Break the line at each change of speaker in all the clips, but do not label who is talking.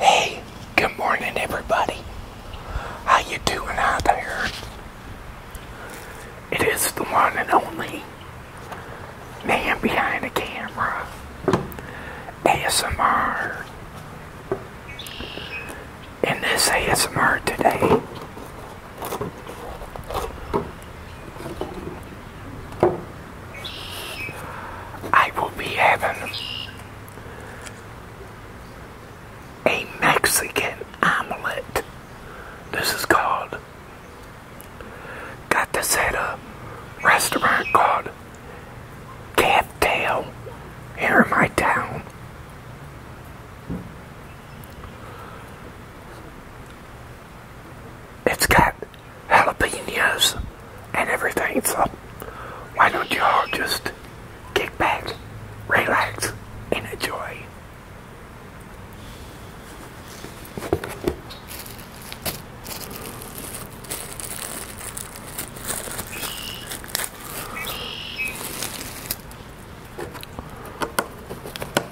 Hey, good morning everybody. How you doing out there? It is the one and only man behind the camera. ASMR. In this ASMR today, I will be having a Mexican omelet. This is called. Got this at a restaurant called Cattail here in my town. It's got jalapenos and everything. So why don't you all just kick back, relax, and enjoy.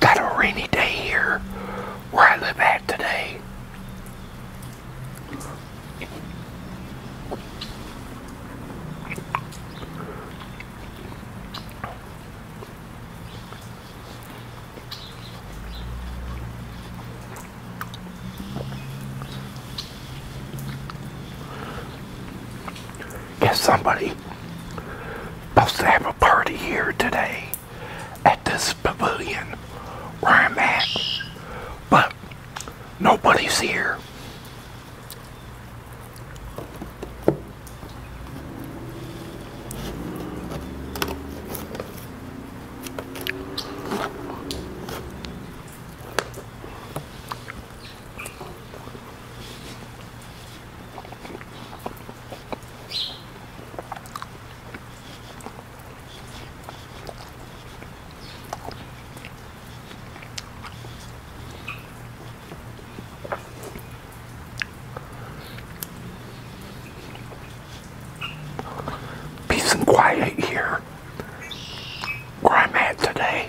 Got a rainy day here where I live at today. Guess somebody supposed to have a party here today at this pavilion where I'm at. But nobody's here. Peace and quiet here where I'm at today.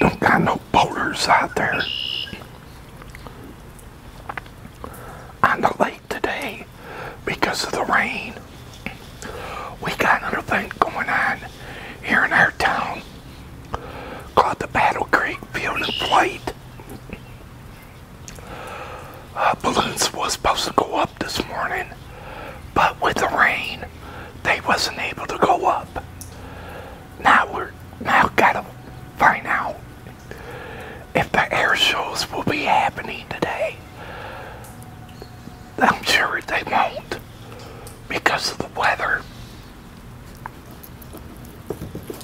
Don't got no boaters out there I'm late today because of the rain. We got another thing going on here in our town called the Battle Creek Field and Flight balloons was supposed to go up this morning, but with the rain, they wasn't able to go up. Now we're now gotta find out if the air shows will be happening today. I'm sure they won't because of the weather.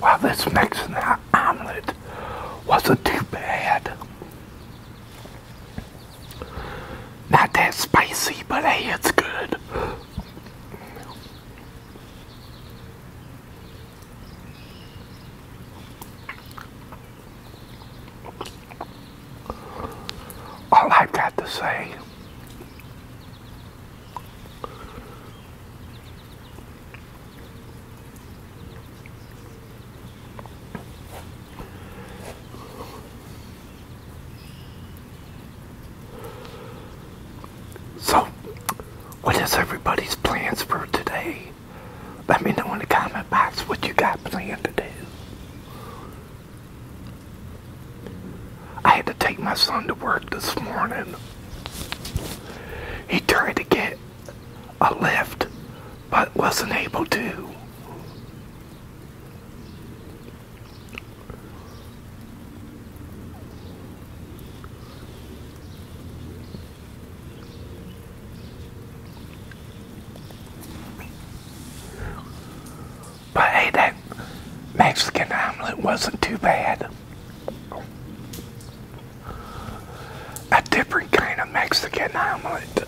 Well, this mixing that omelet wasn't too bad. Not that spicy, but it's good. All I've got to say so, what is everybody's plans for today? Let me know in the comment box what you got planned to do. I had to take my son to work this morning. He tried to get a lift, but wasn't able to. But hey, that Mexican omelet wasn't too bad. A different kind of Mexican omelet.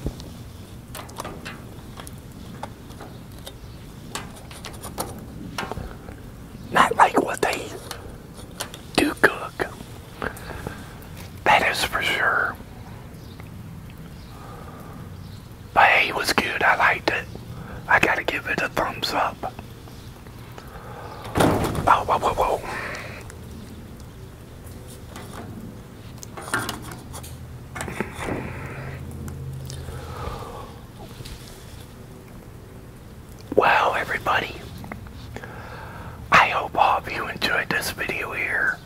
Not like what they do cook. That is for sure. But hey, was good. I liked it. I gotta give it a thumbs up. Oh, Wow, everybody. I hope all of you enjoyed this video here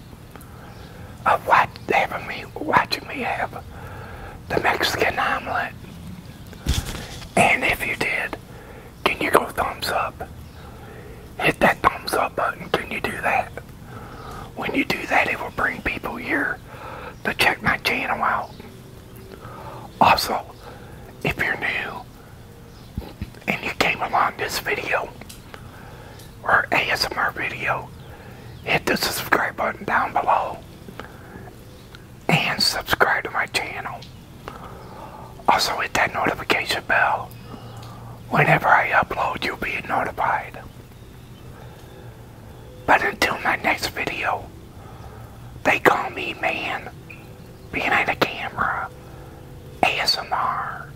of watch, having me, watching me have the Mexican omelet. And if you did, can you go thumbs up? hit that thumbs up button. Can you do that? When you do that, it will bring people here to check my channel out. Also, if you're new and you came along this video or ASMR video, hit the subscribe button down below and subscribe to my channel. Also hit that notification bell. Whenever I upload, you'll be notified. But until my next video, they call me man behind the camera ASMR.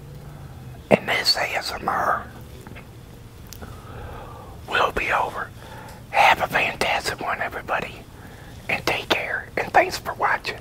And this ASMR will be over. Have a fantastic one, everybody. And take care. And thanks for watching.